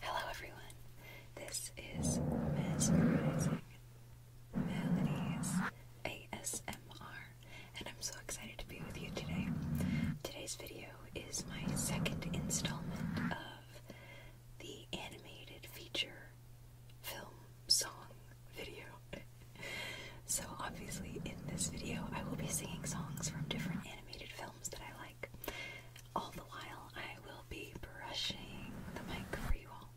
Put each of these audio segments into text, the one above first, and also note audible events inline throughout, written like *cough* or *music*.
Hello, everyone. This is Mesmerizing Melodies ASMR, and I'm so excited to be with you today. Today's video is my second installment of the animated feature film, song, video. *laughs* so, obviously, in this video, I will be singing songs from different animated films that I like. All the while, I will be brushing the mic for you all.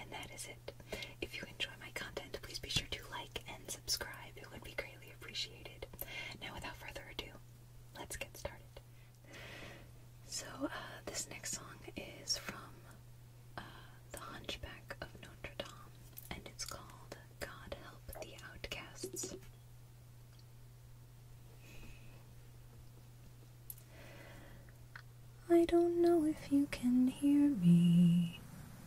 And that is it. If you enjoy my content, please be sure to like and subscribe. It would be greatly appreciated. Now, without further ado, let's get started. So, uh, this next song is from uh, The Hunchback of Notre Dame, and it's called God Help the Outcasts. I don't know if you can hear me,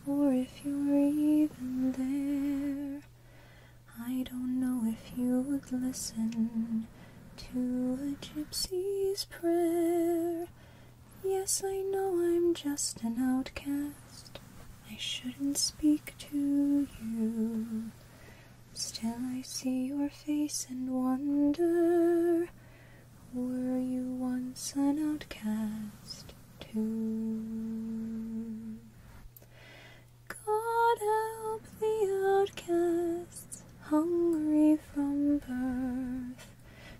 or if you're even there. I don't know if you would listen to a gypsy's prayer. Yes, I know I'm just an outcast. I shouldn't speak to you. Still, I see your face and wonder Were you once an outcast too? God help the outcasts hungry from birth.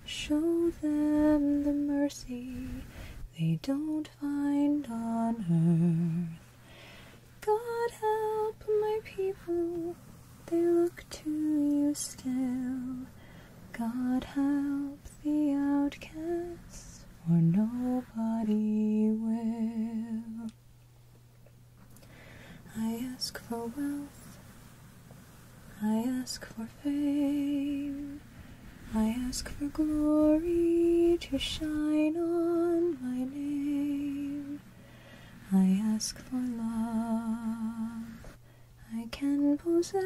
Show them the mercy they don't find on earth. God help my people, they look to you still. God help the outcasts, for nobody will. I ask for wealth, I ask for fame, I ask for glory to shine on my name. I ask for love I can possess.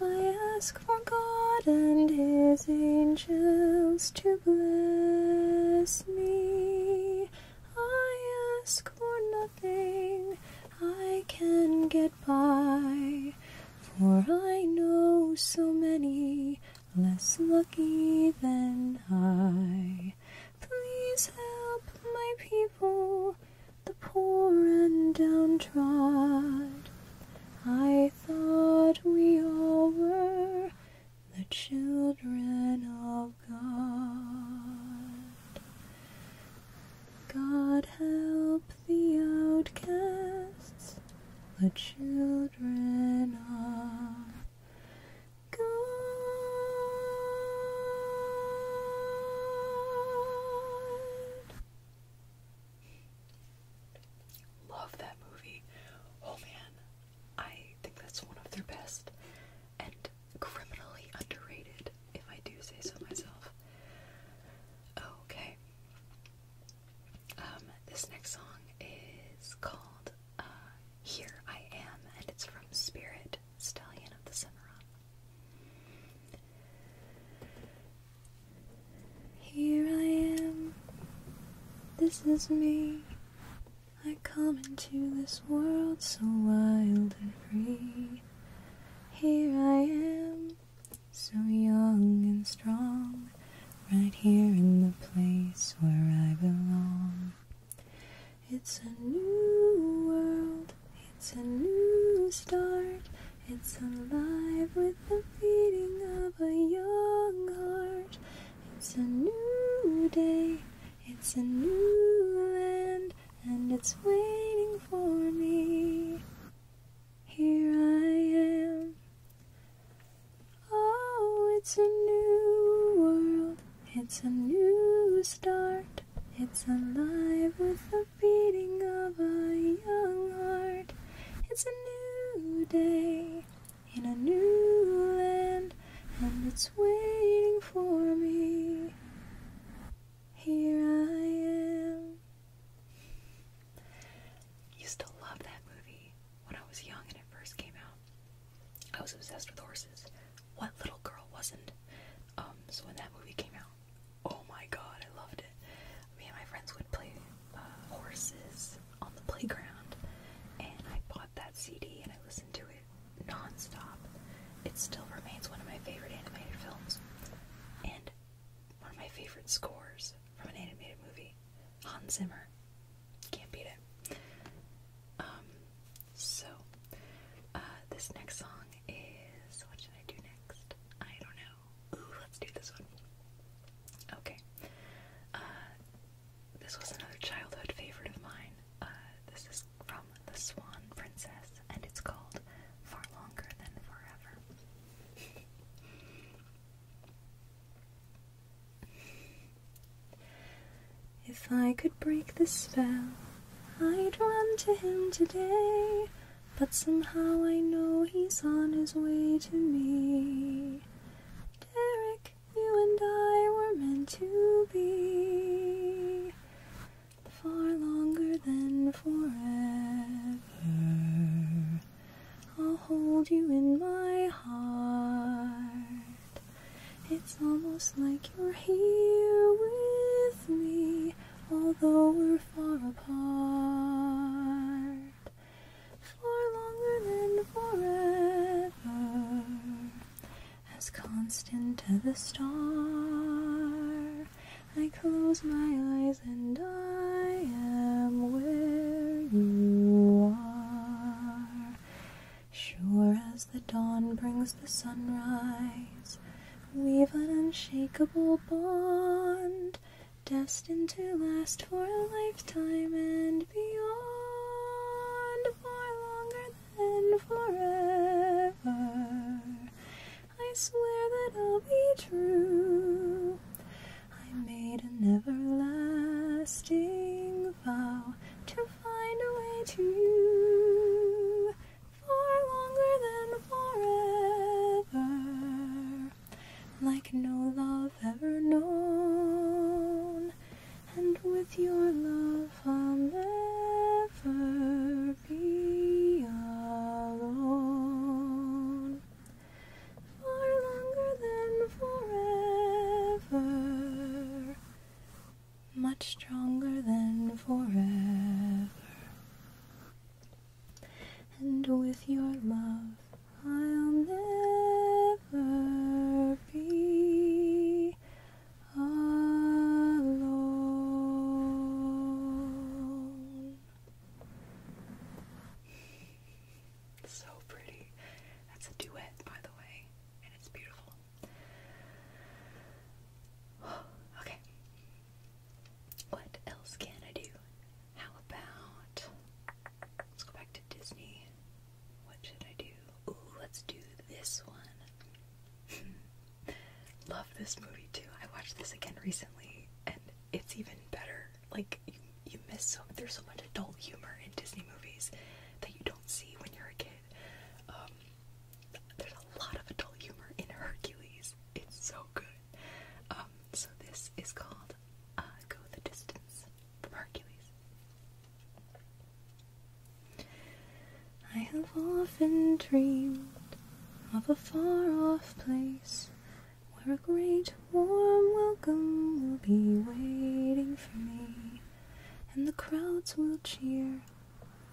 I ask for God and His angels to bless me. I ask for nothing, I can get by, for I know so many less lucky than I. Please help my people, the poor and downtrodden. I thought we all were the children of God. God help the outcasts, the children of God. Love that movie. Oh man, I think that's one of their best and criminally underrated, if I do say so myself. Okay. Um, this next song is called uh, Here I Am, and it's from Spirit, Stallion of the Cimarron. Here I am, this is me. I come into this world so wild and free. Here I am, so young and strong, right here in the place where I belong. It's a new world, it's a new start, it's alive with the beating of a young heart. It's a new day, it's a new land, and it's waiting for me. Here I am. Oh, it's a new world, it's a new start, it's alive with the beating of a young heart. It's a new day, in a new land, and it's waiting for me. Here I am. Used to love that movie when I was young and it first came out. I was obsessed with horses. What little girl wasn't? Um, so when that movie came out, oh my god, I loved it. Me and my friends would play uh, horses on the playground, and I bought that CD and I listened to it non-stop. It still remains one of my favorite animated films, and one of my favorite scores from an animated movie. Hans Zimmer. Can't beat it. Um, so, uh, this next song is, what should I do next? I don't know. Ooh, let's do this one. Okay. Uh, this was another childhood favorite of mine. Uh, this is from The Swan Princess, and it's called Far Longer Than Forever. If I could break the spell, I'd run to him today. But somehow I know he's on his way to me. Derek, you and I were meant to be far longer than forever. I'll hold you in my heart. It's almost like you're here with me, although we're far apart for longer than forever, as constant as the star. I close my eyes and I am where you are. Sure as the dawn brings the sunrise, we've an unshakable bond destined to last for a lifetime and beyond for longer than forever. I swear that I'll be true. I made an everlasting vow to find a way to you far longer than forever, like no love ever known and with your love I'll never be alone. Far longer than forever, much stronger than forever, and with your love. I'll never be alone. So pretty. That's a duet, by the way, and it's beautiful. *sighs* okay. What else can I do? How about let's go back to Disney. What should I do? let's do this one. Hmm. Love this movie too. I watched this again recently, and it's even better. Like you, miss so there's so much adult humor in Disney movies that you don't see when you're a kid. Um, there's a lot of adult humor in Hercules. It's so good. Um, so this is called uh, "Go the Distance." from Hercules. I have often dreamed of a far off place where a great warm welcome will be waiting for me, and the crowds will cheer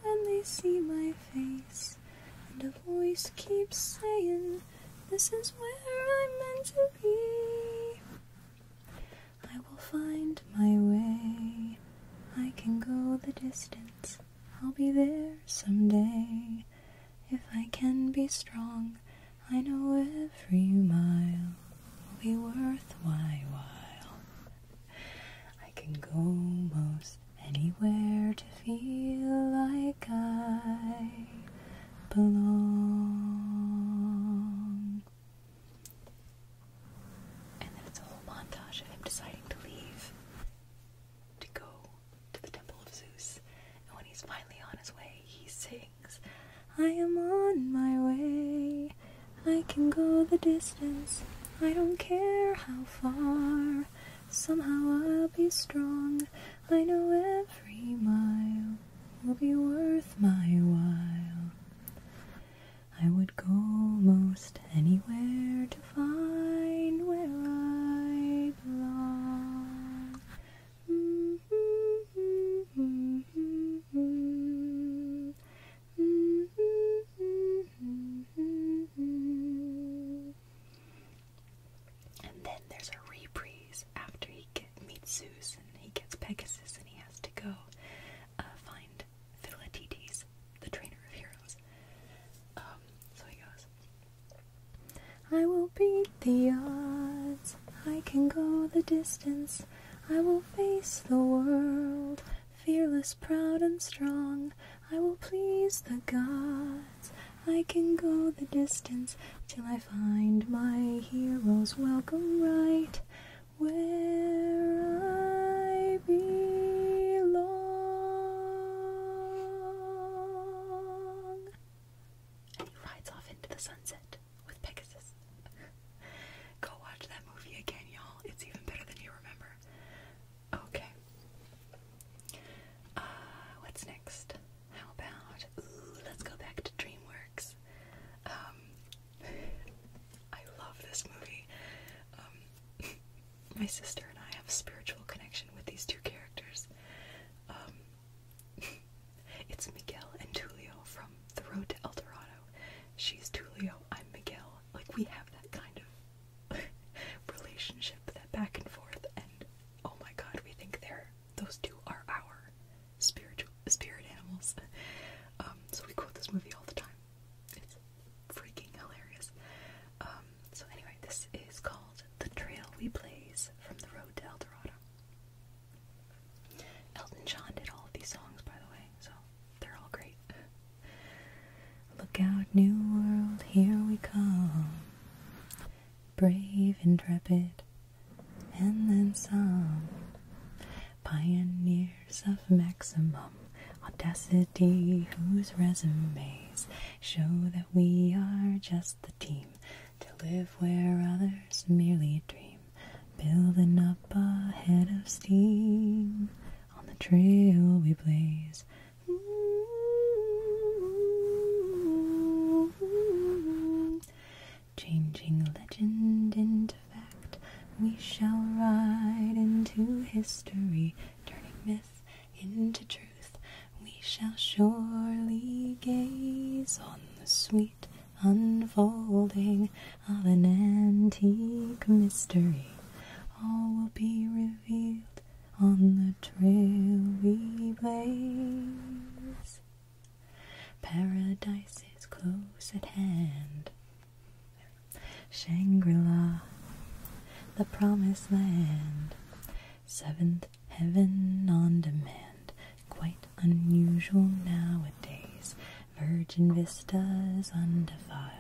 when they see my face, and a voice keeps saying, This is where I'm meant to be. I will find my way. I can go the distance. I'll be there someday. If I can be strong, I know every mile will be worth while. I can go most anywhere to feel like I belong. And then it's a whole montage of him deciding to leave to go to the Temple of Zeus. And when he's finally on his way, he sings, I am on my way. I can go the distance. I don't care how far. Somehow I'll be strong. I know every mile will be worth my while. I would go most anywhere to find where I belong. And then there's a reprise after he meets Zeus and he gets Pegasus and he has to go uh, find Philatides, the trainer of heroes. Um, so he goes, I will beat the odds, I can go the distance, I will face the world, fearless, proud, and strong, I will please the gods. I can go the distance till I find my hero's welcome right where I belong. And he rides off into the sunset with Pegasus. Go watch that movie again, y'all. It's even better than you remember. Okay. Uh, what's next? How about, let's go back to DreamWorks. Um, I love this movie. Um, *laughs* my sister and I have a spiritual connection with these two characters. Um, *laughs* it's Miguel and Tulio from The Road to El Dorado. She's Tulio, I'm Miguel. Like, we have that kind of *laughs* relationship, that back and forth, and oh my god, we think they're those two are our spiritual spirit animals. Um, so we quote this movie all the time. It's freaking hilarious. Um, so anyway, this is called "The Trail We Blaze" from the Road to El Dorado. Elton John did all of these songs, by the way, so they're all great. *laughs* Look out, new world, here we come. Brave, intrepid, and then some. Pioneers of maximum audacity, whose resumes show that we are just the team to live where others merely dream, building up a head of steam on the trail we blaze. Changing legend into fact, we shall ride into history, turning myth into truth. We shall surely gaze on the sweet unfolding of an antique mystery. All will be revealed on the trail we blaze. Paradise is close at hand. Shangri La, the promised land. Seventh heaven on demand. Quite unusual nowadays. Virgin vistas undefiled.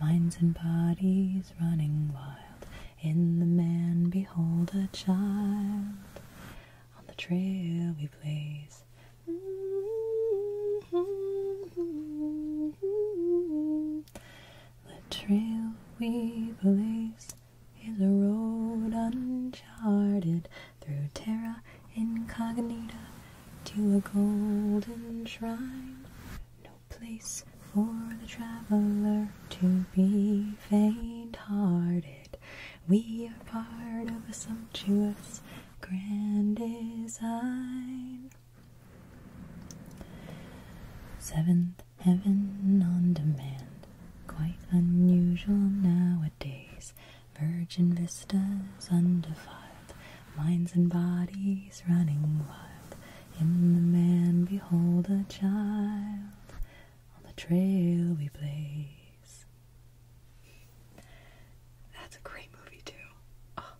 Minds and bodies running wild. In the man, behold a child. On the trail we blaze. Mm-hmm. The trail we blaze is a road uncharted through terra incognita to a golden shrine. No place for the traveler to be faint hearted. We are part of a sumptuous grand design. Seventh Heaven on demand, quite unusual nowadays. Virgin vistas undefiled, minds and bodies running wild. In the man, behold a child. On the trail we blaze. That's a great movie too. Oh,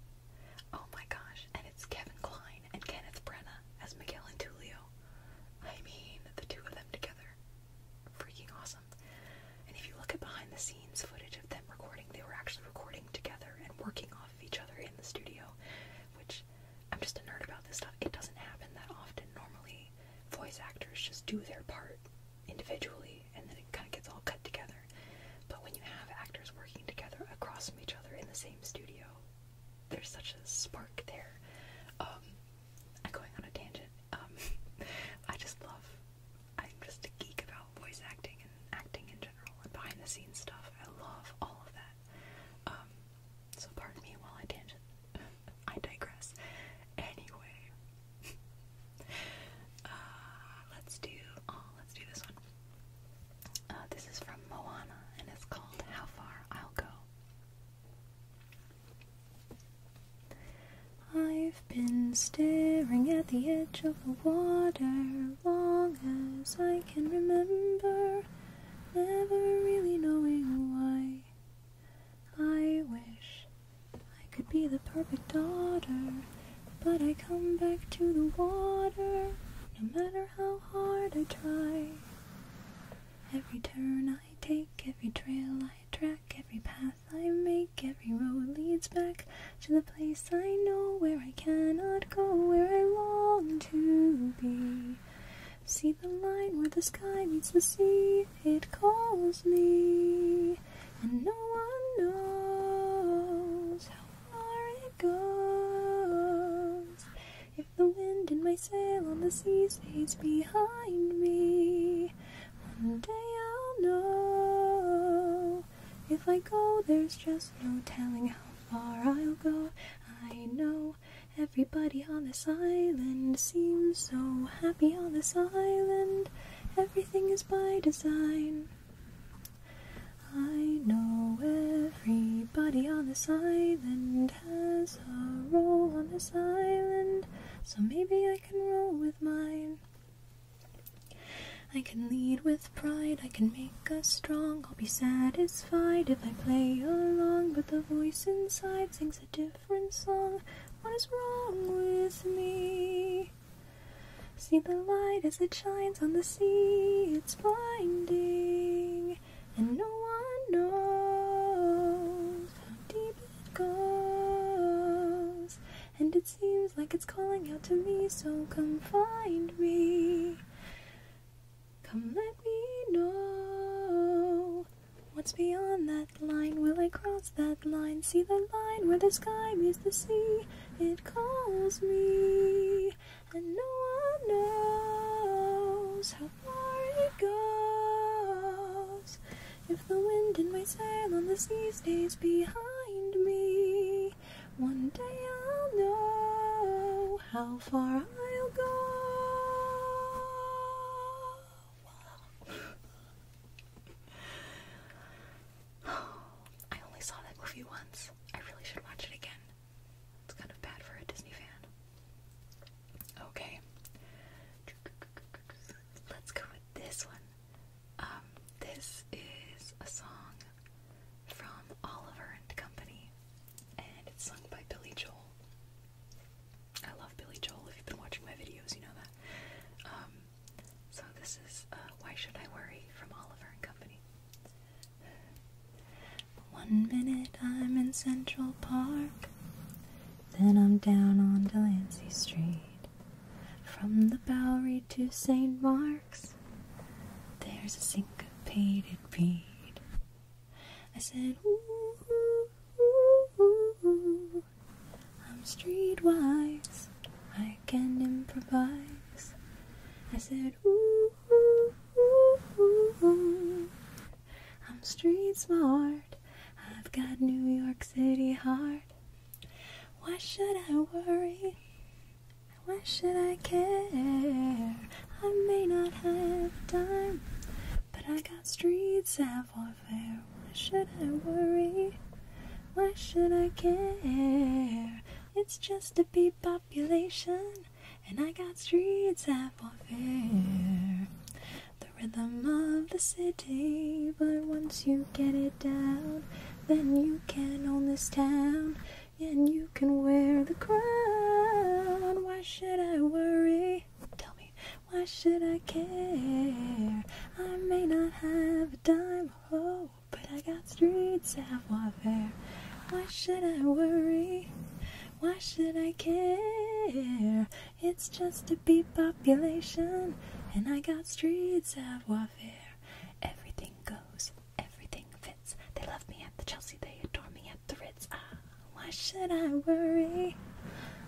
oh, my gosh! And it's Kevin Kline and Kenneth Brenna as Miguel and Tulio. I mean, the two of them together, freaking awesome. And if you look at behind the scenes footage of them recording, they were actually recording together and working off of each other in the studio. Which I'm just a nerd about this stuff. It doesn't happen that often. Normally, voice actors just do their part individually, and then it kind of gets all cut together. But when you have actors working together across from each other in the same studio, there's such a spark there. I'm um, going on a tangent. Um, *laughs* I just love, I'm just a geek about voice acting and acting in general and behind the scenes stuff. I love all of that. Um, so pardon me while I tangent. *laughs* I digress. Anyway, *laughs* uh, let's do. Oh, let's do this one. Uh, this is from Moana, and it's called "How Far I'll Go." I've been staring at the edge of the water long as I can remember, never really knowing why. I wish I could be the perfect daughter, but I come back to the water no matter how hard I try. Every turn I take, every trail I track, every path I make, every road leads back to the place I know where I cannot go, where I long to be. See the line where the sky meets the sea it calls me, and no one knows how far it goes. If the wind in my sail on the sea stays behind me, one day I'll know. If I go, there's just no telling how far I'll go. I know everybody on this island seems so happy happy on this island. Everything is by design. I know everybody on this island has a role on this island, so maybe I can roll with mine. I can lead with pride, I can make us strong. I'll be satisfied if I play along, but the voice inside sings a different song. What is wrong with me? See the light as it shines on the sea, it's blinding, and no one knows how deep it goes. And it seems like it's calling out to me, so come find me. Come let me know What's beyond that line? Will I cross that line? See the line where the sky meets the sea? It calls me, and no one knows how far it goes. If the wind in my sail on the sea stays behind me, one day I'll know how far I'll go. I only saw that movie once. I really should watch it again. It's kind of bad for a Disney fan. Okay. Let's go with this one. Um, this is a song from Oliver and Company, and it's sung by Billy Joel. I love Billy Joel. If you've been watching my videos, you know that. Um, so this is uh, Why Should I Worry from Oliver and Company. One minute I'm in Central Park, then I'm down on Delancey Street. From the Bowery to St. Mark's, there's a syncopated beat. I said, ooh, ooh, ooh, ooh, I'm streetwise, I can improvise. I said, ooh, ooh, ooh, ooh, I'm street smart, I've got New York City heart. Why should I worry? Why should I care? I may not have time, but I got streets street savoir. Why should I worry? Why should I care? It's just a bee population, and I got streets that for The rhythm of the city, but once you get it down, then you can own this town, and you can wear the crown. Why should I worry? Tell me, why should I care? I may not have a dime, oh, but I got streets savoir-faire. Why should I worry? Why should I care? It's just a bee population, and I got streets savoir-faire. Everything goes, everything fits. They love me at the Chelsea, they adore me at the Ritz. Ah, why should I worry?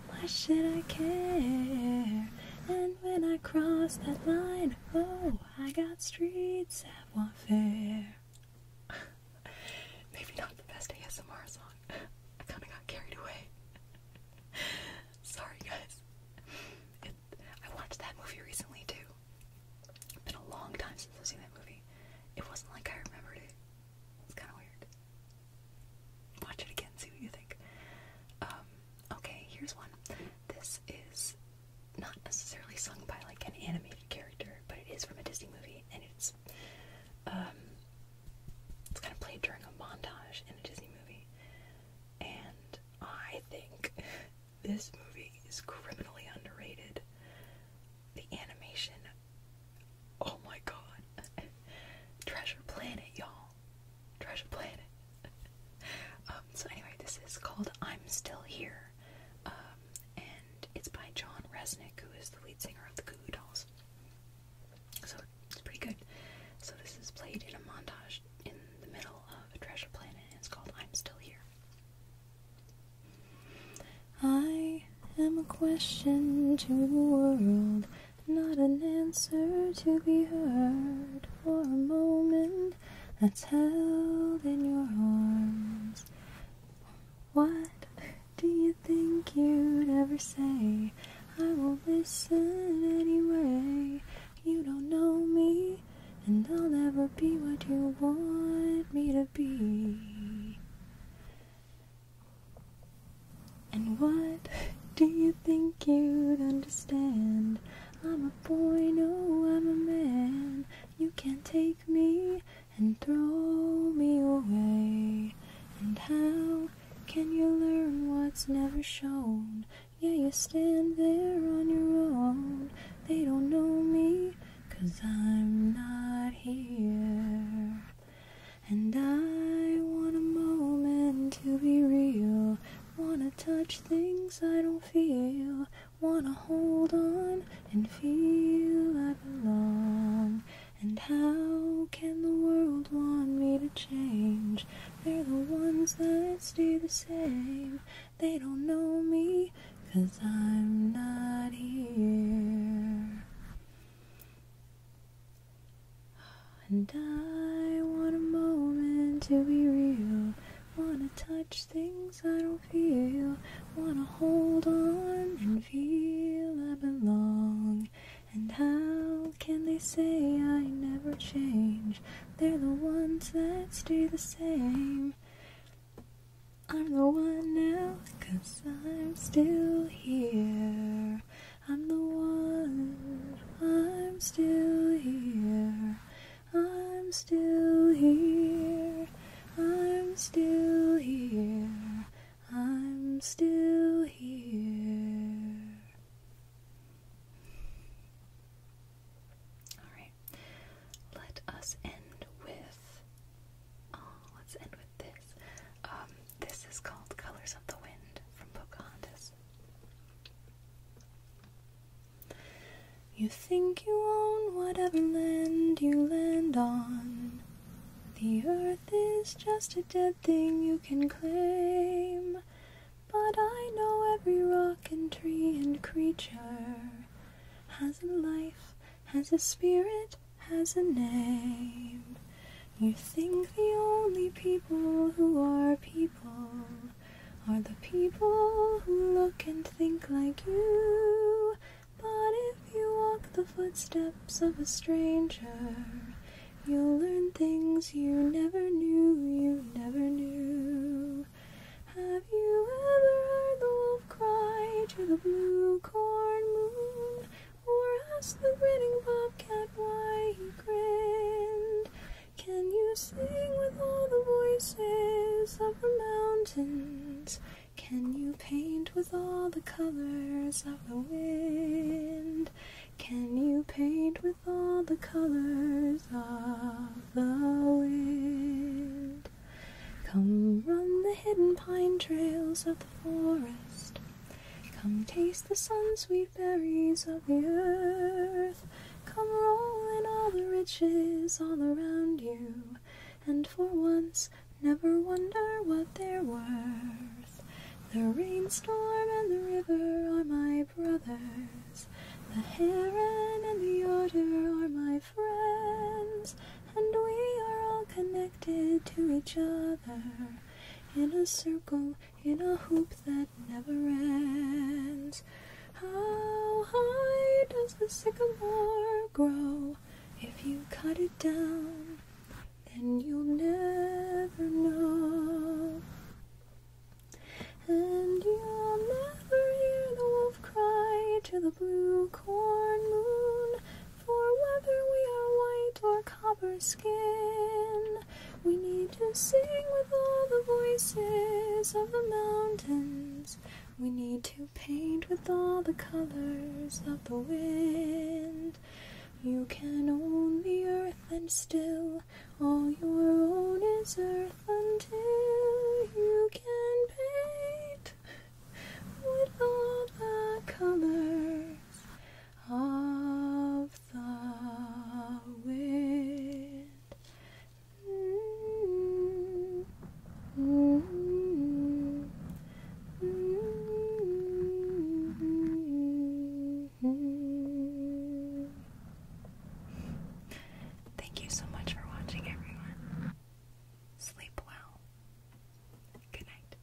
Why should I care? And when I cross that line, oh, I got street savoir-faire. *laughs* Maybe not the best ASMR song. I kind of got carried away. *laughs* Sorry, guys. I watched that movie recently, too. It's been a long time since I've that movie. It wasn't like I remembered it. It's kind of weird. Watch it again, see what you think. Um, okay, here's one. This is not necessarily sung by like an animated character, but it is from a Disney movie, and it's um, it's kind of played during a montage in a Disney movie, and I think *laughs* this movie is criminally underrated. The animation Oh my god. *laughs* Treasure Planet, y'all. Treasure Planet. *laughs* Um, so anyway, this is called I'm Still Here. Um, and it's by John Resnick, who is the lead singer of the Goo Goo Dolls. So it's pretty good. So this is played in a montage in the middle of treasure planet and it's called I'm Still Here. I am a question to the world. Not an answer to be heard for a moment that's held in your arms. What do you think you'd ever say? I will not listen anyway. You don't know me, and I'll never be what you want me to be. And what do you think you'd understand? I'm a boy, no, I'm a man. You can't take me and throw me away. And how can you learn what's never shown? Yeah, you stand there on your own. They don't know me i I'm not here. And I want a moment to be real. Wanna touch things I don't feel. Wanna hold on and feel I belong. And how can the world want me to change? They're the ones that stay the same. They don't know me, cause I'm not here. And I want a moment to be real. Wanna touch things I don't feel. Wanna hold on and feel I belong. And how can they say I never change? They're the ones that stay the same. I'm the one now, cause I'm still here. I'm the one, I'm still here, I'm still here, I'm still here, I'm still here. All right, let us end with. Oh, let's end with this. Um, this is called Colors of the Wind from Pocahontas. You think you own whatever land you land on. The earth is just a dead thing you can claim. But I know every rock and tree and creature has a life, has a spirit, has a name. You think the only people who are people are the people who look and think like you. But if you walk the footsteps of a stranger, you'll learn things you never knew, you never knew. Have you ever heard the wolf cry to the blue corn moon? Or ask the grinning bobcat why he grinned. Can you sing with all the voices of the mountains? Can you paint with all the colors of the wind? Can you paint with all the colors of the wind? Come run the hidden pine trails of the forest. Come taste the sun, sweet berries of the earth. Come roll in all the riches all around you, and for once never wonder what they're worth. The rainstorm and the river are my brothers. The heron and the otter are my friends, and we are all connected to each other in a circle, in a hoop that never ends. How high does the sycamore grow? If you cut it down, then you'll never know. And you'll never hear the wolf cry to the blue corn moon. For whether we are white or copper skin, we need to sing with all the voices of the mountains. We need to paint with all the colors of the wind. You can own the earth and still all your own is earth until you can paint with all the colors of the wind. Thank you so much for watching, everyone. Sleep well. Good night.